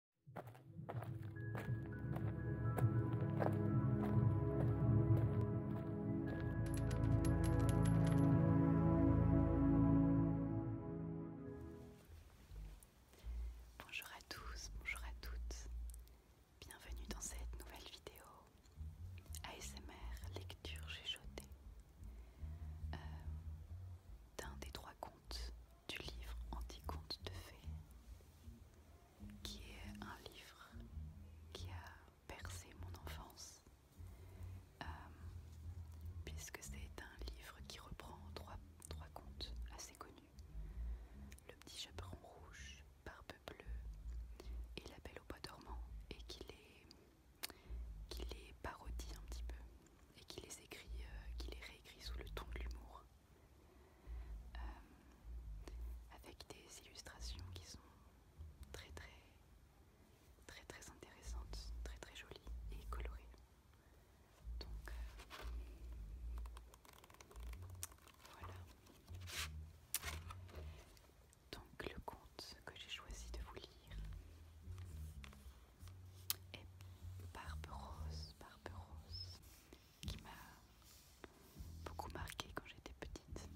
Bonjour à tous, bonjour à toutes. Bienvenue dans cette nouvelle vidéo ASMR lecture chuchotée euh, d'un des trois contes du livre Anti-Contes de fées, qui est un livre qui a percé mon enfance, euh, puisque c'est un livre qui reprend trois, contes assez connus Le petit chaperon rouge, Barbe bleue et La belle au bois dormant, et qui les parodie un petit peu et qui les écrit, euh, qui les réécrit sous le ton de l'humour, euh, avec des illustrations qui sont très très très très intéressantes, très très jolies et colorées. Donc euh, voilà. Donc le conte que j'ai choisi de vous lire et Barbe Rose, Barbe Rose, qui m'a beaucoup marqué quand j'étais petite.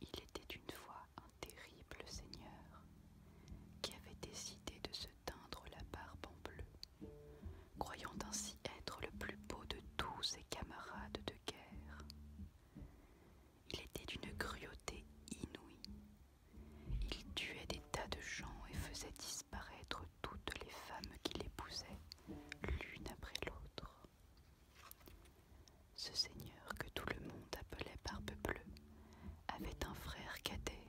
Il était une fois un terrible seigneur qui avait décidé de se teindre la barbe en bleu, croyant ainsi être le plus beau de tous ses camarades de guerre. Il était d'une cruauté inouïe. Il tuait des tas de gens et faisait disparaître toutes les femmes qu'il épousait, l'une après l'autre. Ce seigneur que tout le monde appelait Barbe Bleue avait un frère cadet,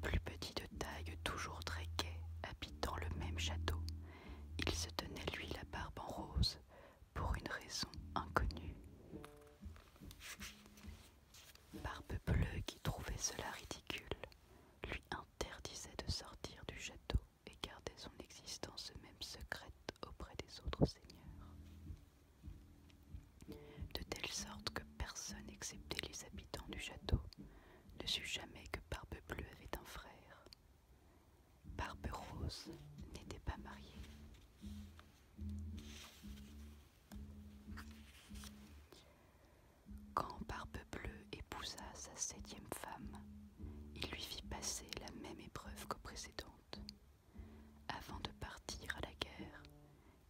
plus petit de taille, toujours très gai, habitant le même château. Il se tenait lui la barbe en rose pour une raison inconnue. Barbe bleue qui trouvait cela ridicule lui interdisait de sortir du château et gardait son existence même secrète auprès des autres seigneurs de telle sorte que personne excepté les habitants du château ne sut jamais que Barbe Bleue avait un frère. Barbe Rose n'était pas mariée. Quand Barbe Bleue épousa sa septième femme, il lui fit passer la même épreuve qu'aux précédente. Avant de partir à la guerre,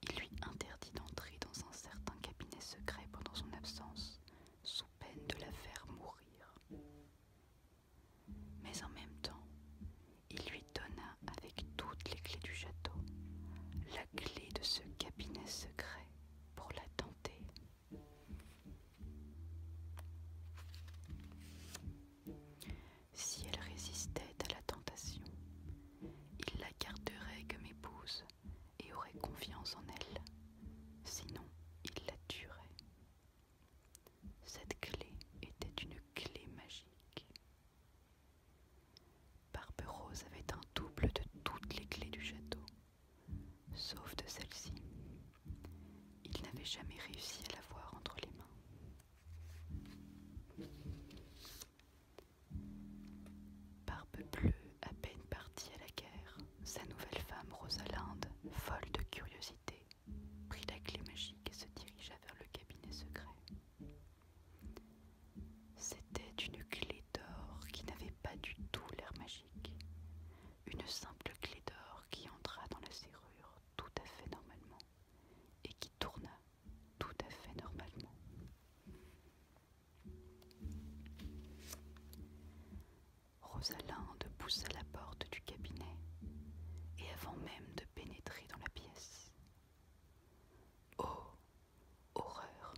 il lui interdit d'entrer dans un certain cabinet secret pendant son absence, sous peine de la faire mourir. Mais en même temps, il lui donna avec toutes les clés du château la clé de ce cabinet secret pour la tenter si elle résistait à la tentation. Il la garderait comme épouse et aurait confiance en elle. Sinon, il la tuerait. Cette clé était une clé magique. Rose avait un double de toutes les clés du château, sauf de celle-ci. Il n'avait jamais réussi à la voir entre les mains. Barbe bleue, à peine partie à la guerre, sa nouvelle femme Rosalinde, folle de curiosité, prit la clé magique et se dirigea vers le cabinet secret. C'était une clé d'or qui n'avait pas du tout l'air magique, une simple clé d'or qui entra dans la serrure tout à fait normalement et qui tourna tout à fait normalement. Rosalinde poussa la porte du cabinet et avant même de pénétrer dans la pièce. Oh Horreur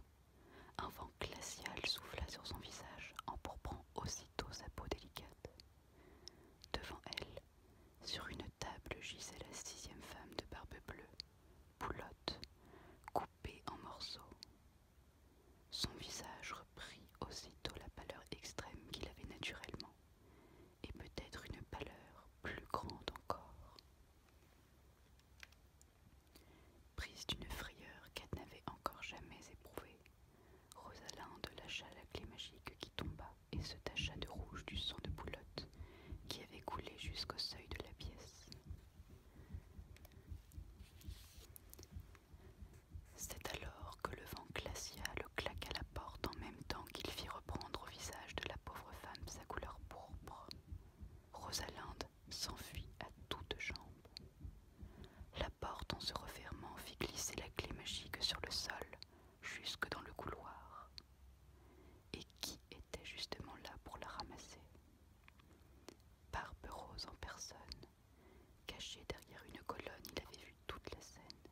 Un vent glacial souffla sur son visage, empourprant aussitôt sa peau délicate. Devant elle, sur une table gisait la sixième femme de barbe bleue, poulotte, coupée en morceaux. Son visage reprit aussitôt la pâleur extrême qu'il avait naturellement, et peut-être une pâleur plus grande encore. Prise d'une frayeur qu'elle n'avait encore jamais éprouvée, Rosalinde lâcha la clé magique qui tomba et se tacha de rouge du sang de Boulotte qui avait coulé jusqu'au seuil de la pièce. C'est alors que le vent glacial claqua la porte en même temps qu'il fit reprendre au visage de la pauvre femme sa couleur pourpre. Rosalinde s'enfuit à toutes jambes porte, en se refermant, fit glisser la clé magique sur le sol, jusque dans le couloir. Et qui était justement là pour la ramasser Barbe Rose en personne. Caché derrière une colonne, il avait vu toute la scène.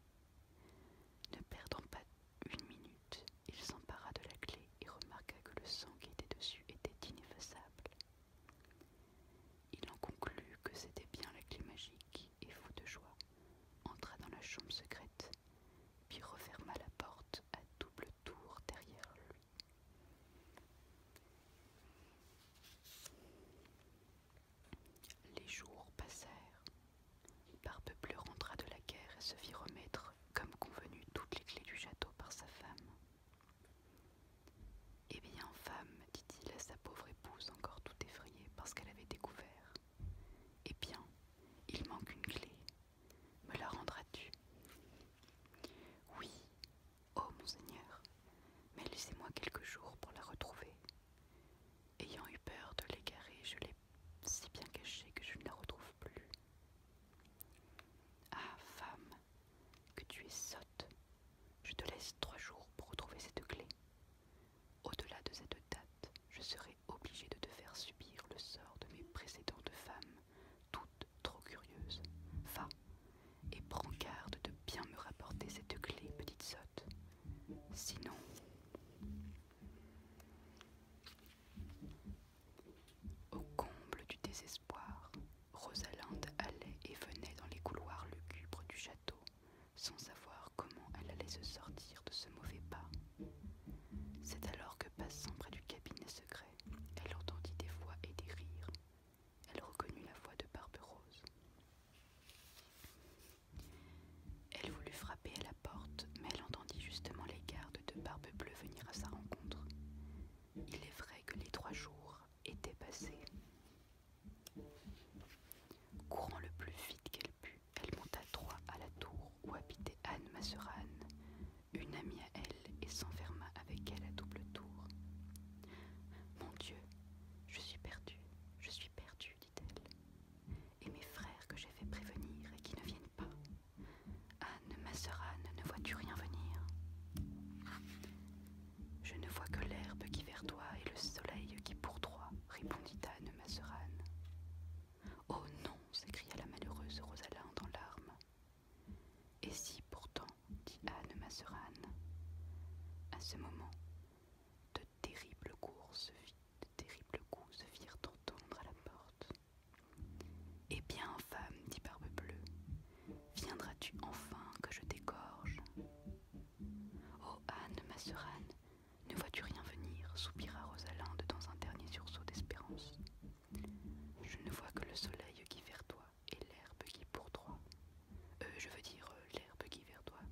Ne perdant pas une minute, il s'empara de la clé et remarqua que le sang qui était dessus était ineffaçable. Il en conclut que c'était bien la clé magique et fou de joie, entra dans la chambre secrète, puis referma la porte à double tour derrière lui. Les jours passèrent. Barbe rentra de la guerre et se fit remettre, comme convenu, toutes les clés du château par sa femme. Eh bien, femme, dit-il à sa pauvre épouse, encore tout effrayée parce qu'elle avait découvert. Eh bien, il manque une clé. Me la rendras-tu Oui, oh monseigneur, mais laissez-moi quelques jours pour la retrouver. Ayant eu peur de l'égarer, je l'ai si bien cachée que je ne la retrouve plus. Ah, femme, que tu es sotte je te laisse trois jours pour retrouver cette clé. Au-delà de cette date, je serai obligée de te faire subir le sort de mes précédentes femmes, toutes trop curieuses. Va et prends garde de bien me rapporter cette clé, petite sotte. Sinon... Au comble du désespoir, Rosalinde allait et venait dans les couloirs lugubres du château, sans savoir comment elle allait se sortir de ce mauvais pas. C'est alors que, passant près du cabinet secret, elle entendit des voix et des rires. Elle reconnut la voix de Barbe Rose Elle voulut frapper à la porte, mais elle entendit justement les gardes de Barbe Bleue venir à sa rencontre. Il est vrai que les trois jours étaient passés, Courant le plus vite qu'elle put, elle monta droit à la tour où habitait Anne, ma une amie à elle, et s'enferma avec elle à double tour. Mon Dieu, je suis perdue, je suis perdue, dit-elle. Et mes frères que j'ai fait prévenir et qui ne viennent pas. Anne, Masserane ne vois-tu rien venir je ne vois que l'herbe qui verdoie et le soleil qui pourtroie, répondit Anne Masserane. Oh non s'écria la malheureuse Rosalind en larmes. Et si pourtant, dit Anne Masserane. À ce moment, de terribles coups se, de se firent entendre à la porte. Eh bien, femme, dit Barbe Bleue, Viendras-tu enfin que je t'égorge Oh Anne, ma sœur Anne, ne vois-tu rien venir soupira Rosalinde dans un dernier sursaut d'espérance. Je ne vois que le soleil qui vertoie et l'herbe qui pourtroie. Euh, je veux dire euh, l'herbe qui verdoie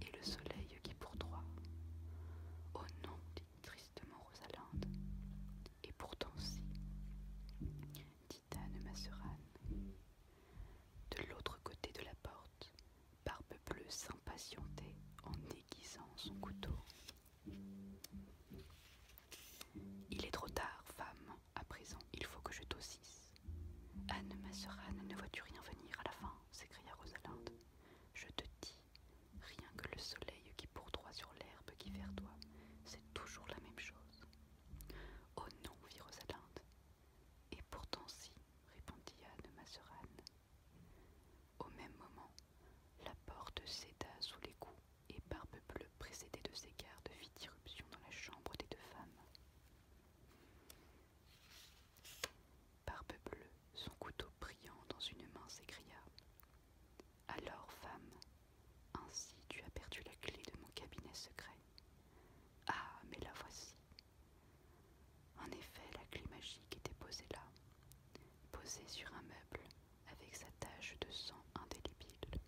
et le soleil qui pourtroie. Oh non, dit tristement Rosalinde. Et pourtant si, Anne De l'autre côté de la porte, Barbe Bleue s'impatientait en aiguisant son couteau. Il est trop tard, femme. À présent, il faut que je tossisse. Anne Masseran, ne vois-tu rien venir à la fin s'écria Rosalinde. Je te dis, rien que le soleil qui pourdroit sur l'herbe qui verdoie, c'est toujours la même chose. Oh non, fit Rosalinde. Et pourtant si, répondit Anne Mazerane. Au même moment, la porte céda sous les coups, et Barbe Bleue, précédée de ses gardes, fit irruption dans la chambre des deux femmes. Barbe Bleue, son couteau brillant dans une main, s'écria. Alors, femme, ainsi tu as perdu la clé de mon cabinet secret. Ah, mais la voici. En effet, la clé magique était posée là, posée sur un meuble, avec sa tache de sang indélébile.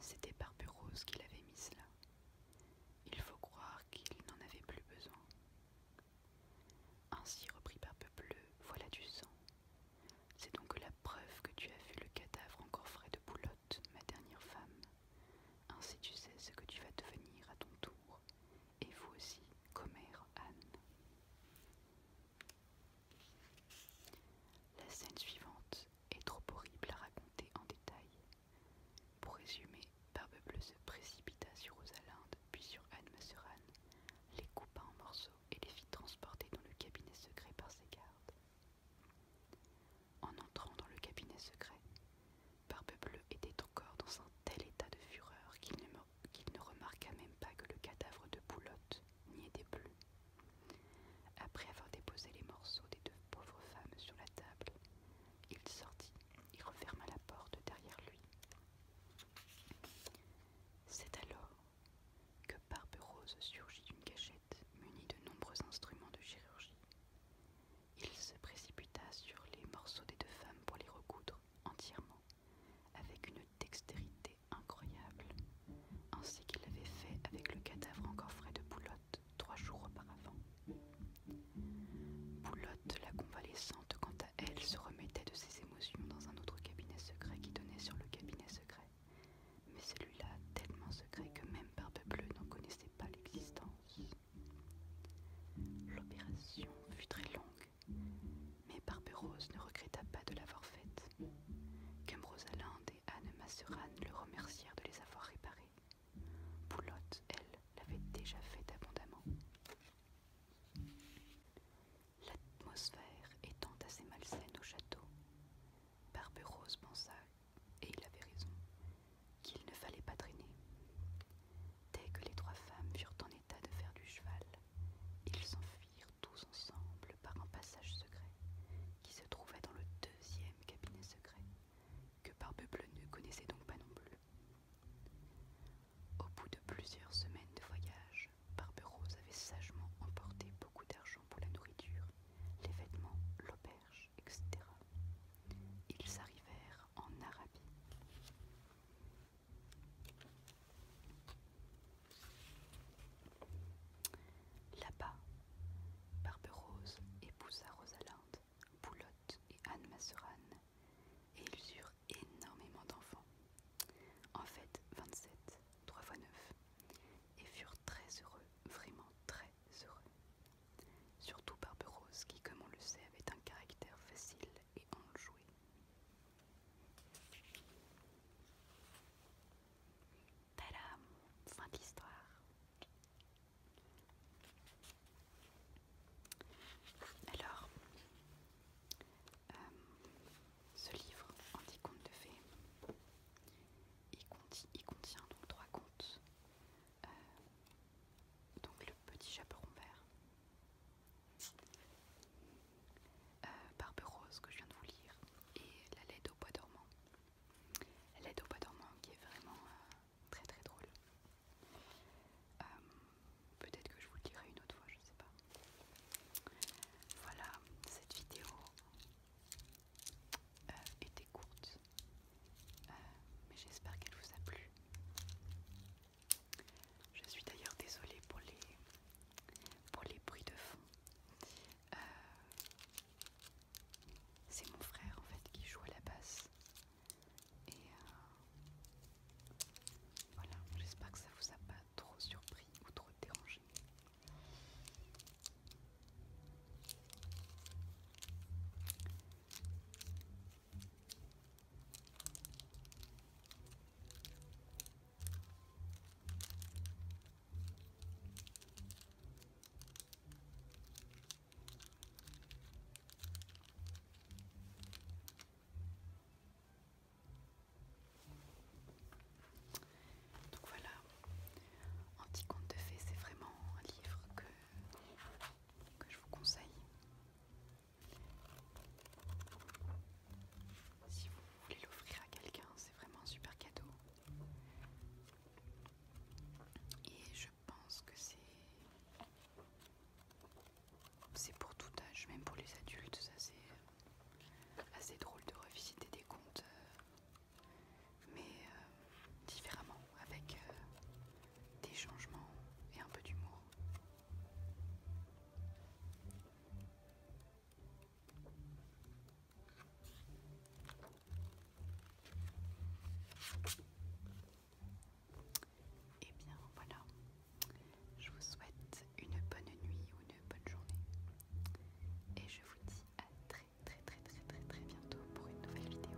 C'était Barbe Rose qui l'avait mise là. Il faut croire qu'il n'en avait plus besoin. Ainsi reprit Barbe bleu, voilà du sang, c'est donc la preuve que tu as vu le cadavre encore frais de Boulotte, ma dernière femme. Ainsi tu sais ce que tu vas devenir à ton tour, et vous aussi, commère Anne. La scène suivante est trop horrible à raconter en détail. Pour résumer, Barbe Bleue se précipita sur Rosalinde, puis sur Anne Anne, les coupa en morceaux et les fit transporter dans le cabinet secret par ses gardes. En entrant dans le cabinet secret, Barbe Bleue était encore dans un tel état de fureur qu'il ne, remarqua même pas que le cadavre de Boulotte n'y était plus. Après avoir déposé les morceaux des deux pauvres femmes sur la table, il sortit et referma la porte derrière lui. C'est alors que Barbe-Rose surgit d'une cachette munie de nombreux instruments de chirurgie. Il se précipita sur les morceaux des deux femmes pour les recoudre entièrement, avec une dextérité incroyable, ainsi qu'il l'avait fait avec le cadavre encore frais de Boulotte trois jours auparavant. Boulotte, la convalescente, quant elle, se remettait de ses émotions dans un autre cabinet secret qui donnait sur le cabinet secret. Mais celui-là, tellement secret que même Barbe Bleue n'en connaissait pas l'existence. L'opération fut très longue, mais Barbe Rose ne regretta pas de l'avoir faite. Comme et Anne Masseran le remercièrent de les avoir réparés. Poulotte, elle, l'avait déjà faite abondamment. L'atmosphère étant assez malsaine au château, Rose pensa, et il avait raison, qu'il ne fallait pas traîner. Dès que les trois femmes furent en état de faire du cheval, ils s'enfuirent tous ensemble par un passage secret qui se trouvait dans le deuxième cabinet secret, que Barbe Bleu ne connaissait donc pas non plus. Au bout de plusieurs semaines de voyage, Rose avait sagement emporté beaucoup d'argent pour la nourriture, les vêtements, l'auberge, etc. Ils arrivèrent en Arabie. Là-bas, Rose épousa Rosalinde, Boulotte et Anne Masserane, et ils eurent énormément d'enfants. En fait, 27, 3 fois 9, et furent très heureux, vraiment très heureux. Surtout Rose, qui, comme on le sait, avait un caractère facile et enjoué. Tadam Fin de l'histoire. Alors, euh, ce livre, Anti-Contes de Fées, il contient, contient donc trois contes. Euh, donc le petit chaperon vert. Euh, barbe Rose que je viens de vous lire et la laide au bois dormant. La laide au bois dormant qui est vraiment très très drôle. Peut-être que je vous le dirai une autre fois, je ne sais pas. Voilà, cette vidéo euh, était courte, euh, mais j'espère qu'elle vous a plu. Je suis d'ailleurs désolée pour les, bruits de fond. Euh, c'est mon frère en fait qui joue à la basse et euh, voilà, j'espère que ça vous a pas trop surpris ou trop dérangé. Donc voilà, conte de fées, c'est vraiment un livre que, que je vous conseille. Si vous voulez l'offrir à quelqu'un, c'est vraiment un super cadeau. Et je pense que c'est c'est pour tout âge, même pour les adultes, ça c'est assez drôle de revisiter des contes, euh, mais euh, différemment, avec euh, des changements et un peu d'humour. Et eh bien voilà, je vous souhaite une bonne nuit ou une bonne journée. Et je vous dis à très très très très très très bientôt pour une nouvelle vidéo.